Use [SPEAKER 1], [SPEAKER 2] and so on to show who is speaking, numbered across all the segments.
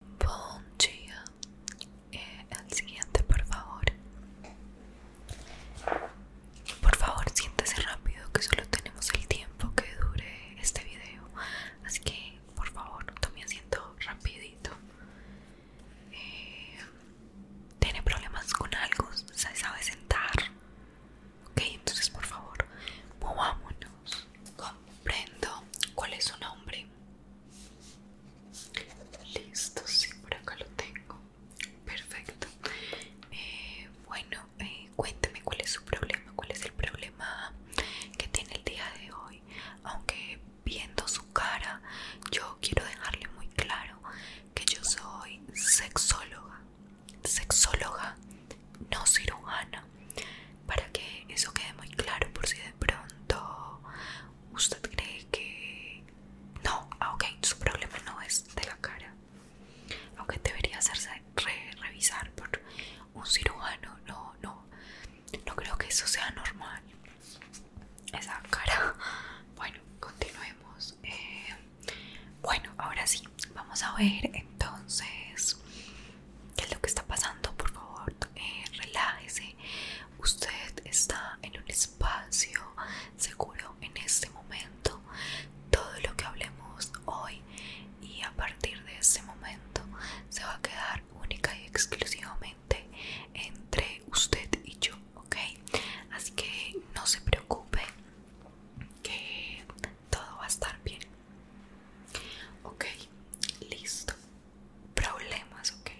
[SPEAKER 1] Buen eh, el siguiente, por favor. Por favor, siéntese rápido que solo tenemos el tiempo que dure este video. Así que, por favor, tome asiento rapidito. Eh, ¿Tiene problemas con algo? ¿Se sabe sentar? Ok, entonces, por favor, movámonos. Comprendo. ¿Cuál es su nombre? listo sí por acá lo tengo perfecto eh, bueno eh, cuénteme cuál es su problema cuál es el problema que tiene el día de hoy aunque viendo su cara yo quiero dejarle muy claro que yo soy sexóloga sexóloga no cirujana para que eso quede muy claro por si de pronto usted cree que no, ah, ok, su problema no es de la cara, aunque debería hacerse revisar por un cirujano, no, no, no creo que eso sea normal. Esa cara. Bueno, continuemos. Eh, bueno, ahora sí, vamos a ver entonces qué es lo que está pasando, por favor, eh, relájese. Usted está en un espacio seguro en este momento. Todo lo que hablemos hoy y a partir de ese momento se va a quedar única y exclusivamente entre usted y yo, ¿ok? Así que no se preocupe que todo va a estar bien. Ok, listo. Problemas, ok.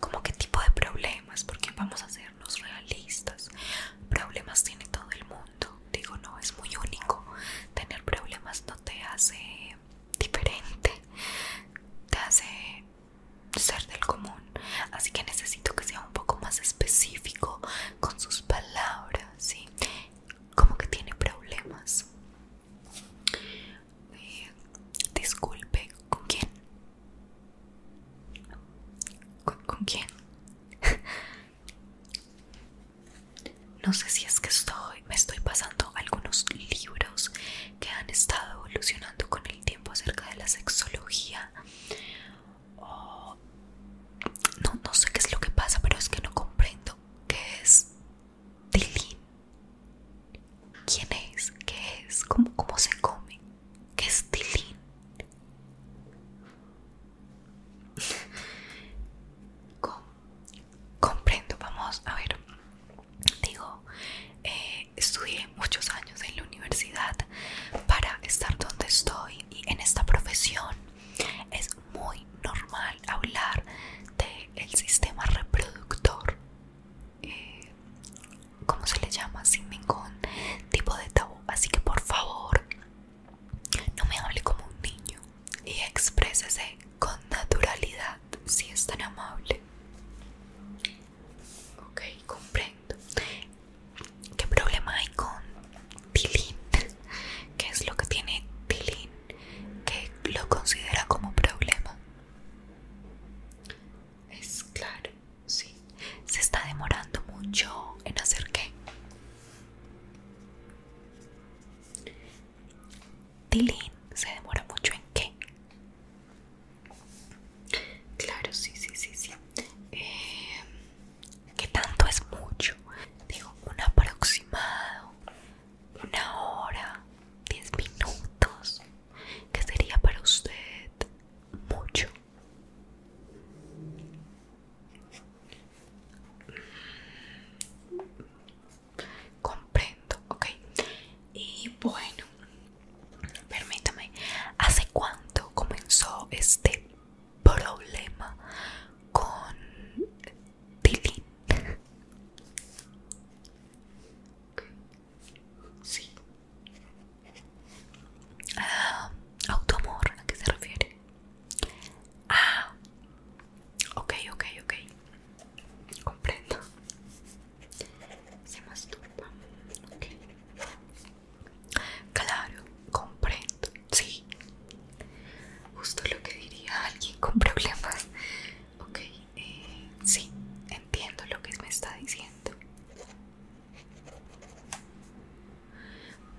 [SPEAKER 1] ¿Cómo qué tipo de problemas? Porque vamos a hacernos realistas. Problemas tiene todo el mundo. Digo, no, es muy único. Tener problemas no te hace diferente. Te hace ser del común. Así que necesito que sea un poco más específico con sus palabras, ¿sí? como que tiene problemas. Eh, disculpe, ¿con quién? ¿Con, quién? no sé si es que estoy, me estoy pasando algunos libros que han estado evolucionando con el tiempo acerca de la sexología. no sé qué es lo que pasa, pero es que no comprendo ¿Qué es? Tilín. ¿Quién es? ¿Qué es? ¿Cómo, se come? ¿Qué es Tilín? comprendo, vamos a ver. Digo, eh, estudié muchos años en la universidad para estar donde estoy y en esta profesión es muy normal hablar del sistema reproductor, eh, ¿Cómo se le llama, sin ningún tipo de tabú. Así que por favor, no me hable como un niño y exprésese con naturalidad si es tan amable. Ok, comprendo. ¿Qué problema hay con Tilín? ¿Qué es lo que tiene Tilín que lo considera como problema? Es claro, sí. ¿Se está demorando mucho en hacer qué? Tilín se demora mucho en qué? Claro, sí, sí, sí, sí. Eh, ¿Qué tanto es mucho digo un aproximado una hora Diez minutos que sería para usted mucho comprendo ok y bueno permítame hace cuánto comenzó este problema con dilin Okay. Sí. Uh, ¿a que se refiere? Ah, ok, ok, ok. Comprendo. Se masturba. Okay. Claro, comprendo, sí. Justo lo que diría alguien con problemas. Ok, eh, sí, entiendo lo que me está diciendo.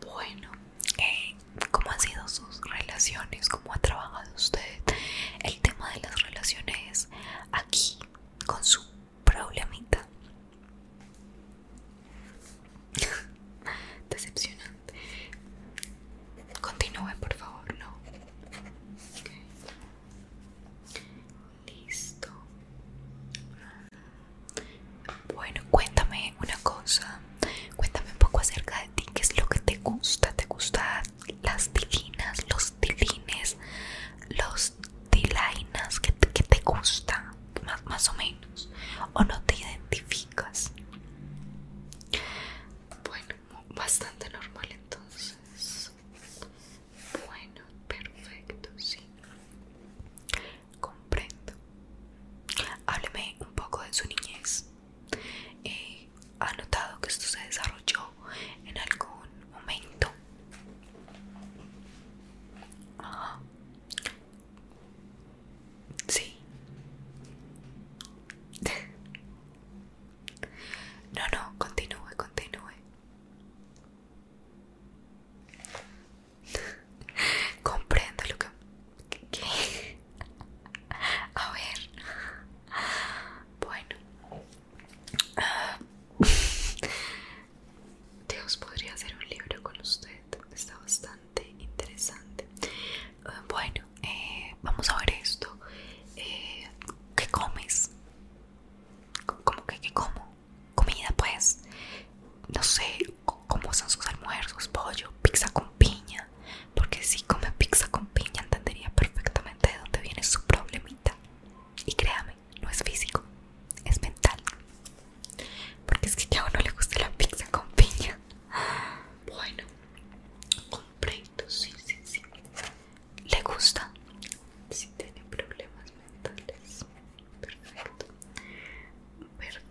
[SPEAKER 1] Bueno, eh, ¿cómo han sido sus relaciones? ¿Cómo ha trabajado usted el tema de las relaciones aquí con su problemita? Decepcionante. Continúe, por favor, Listo. Bueno, cuéntame una cosa. Cuéntame un poco acerca de ti. ¿Qué es lo que te gusta? ¿Te gustan las divinas, los divines? los dilainas? ¿Qué qué te gusta? más, o menos, o no te identificas. Bueno, bastante normal entonces. Bueno, perfecto, sí. Comprendo. Hábleme un poco de su niñez. Eh, ¿Ha notado que esto se desarrolló en algún momento? Sí. No, no, continúe, continúe. Comprendo lo que... A ver. Bueno. Ah, Dios podría hacer un libro con usted, está bastante interesante. Eh, bueno, eh, vamos a ver esto. Eh, ¿Qué comes? ¿Cómo que qué como? Comida, pues. No sé cómo son sus almuerzos, pollo, pizza con piña. Porque si come pizza con piña entendería perfectamente de dónde viene su problemita. Y créame, no es físico, es mental. Porque es que a uno le gusta la pizza con piña. Bueno, completo, sí, sí, sí. ¿Le gusta? Si sí, tiene problemas mentales. Perfecto.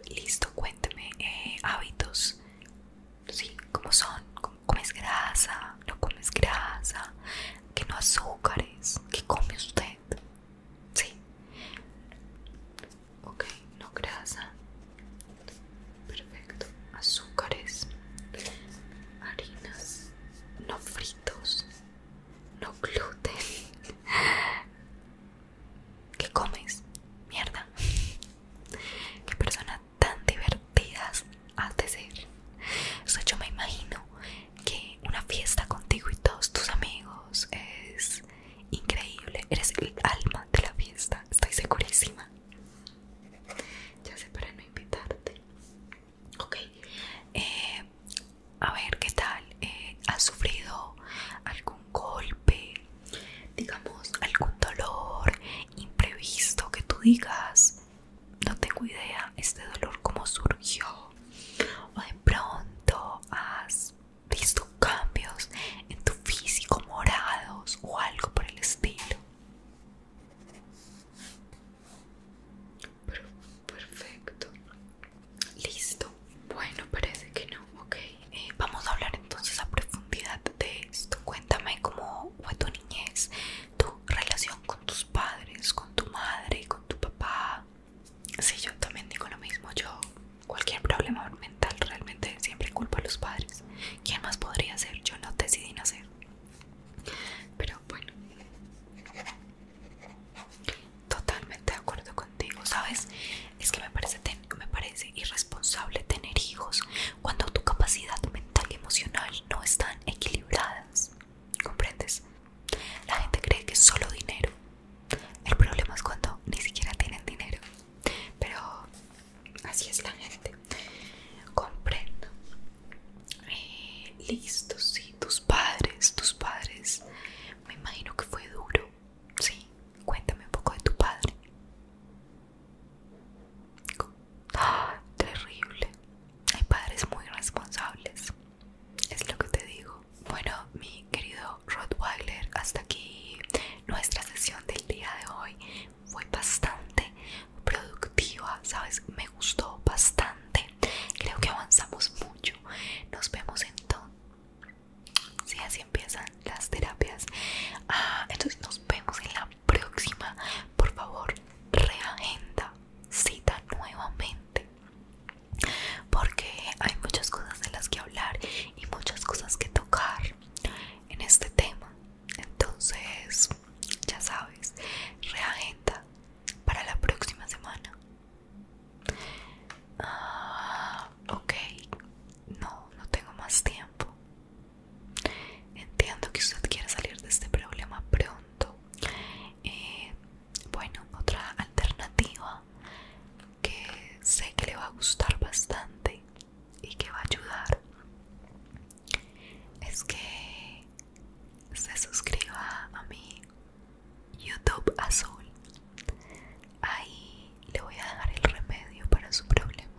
[SPEAKER 1] listo, cuénteme eh, hábitos. Sí, ¿cómo son? comes grasa? no comes grasa que no azúcares? ¿Qué come usted? Sí. Ok, no grasa. Perfecto. Azúcares. Harinas. No fritos. No gluten. ¿Qué comes? Mierda. Qué personas tan divertidas has de ser. O sea, yo me imagino que una fiesta contigo y todos tus amigos es increíble. Eres el alma de la fiesta, estoy segurísima. Ya sé para no invitarte. Ok. Eh, a ver, ¿qué tal? Eh, ¿Has sufrido algún golpe? Digamos, algún dolor imprevisto que tú digas no tengo idea este dolor cómo surgió o de pronto has visto cambios en tu físico morados o algo por el estilo perfecto listo bueno parece que no ok eh, vamos a hablar entonces a profundidad de esto cuéntame cómo fue tu niñez tu relación con tus padres, con tu madre, con tu papá. Sí, yo también digo lo mismo. Yo, cualquier problema mental realmente siempre culpa a los padres. ¿Quién más podría ser? Yo no decidí nacer. Pero bueno, totalmente de acuerdo contigo, ¿sabes? Es que me parece irresponsable tener hijos cuando tu capacidad mental y emocional no están equilibradas. ¿Comprendes? La gente cree que es solo dinero. El problema es cuando ni siquiera tienen dinero. Pero así es la gente. Comprendo. Eh, listo, sí. Tus padres, tus padres. Me imagino que fue duro. Sí. Cuéntame un poco de tu padre. terrible. Hay padres muy responsables. Es lo que te digo. Bueno, mi querido Rottweiler, hasta aquí nuestra sesión del día de hoy. Fue bastante productiva, ¿sabes? Me gustó bastante. Creo que avanzamos mucho. Nos vemos entonces. Sí, así empiezan las terapias. Ah, entonces nos vemos en la próxima. Por favor, reagenda cita nuevamente. Porque hay muchas cosas de las que hablar y muchas cosas que tocar en este tema. Entonces, ya sabes, reagenda para la próxima semana. Ah, ok, no, no tengo más tiempo. Entiendo que usted quiere salir de este problema pronto. Eh, bueno, otra alternativa que sé que le va a gustar bastante y que va a ayudar es que se suscriba a mi YouTube azul. Ahí le voy a dejar el remedio para su problema.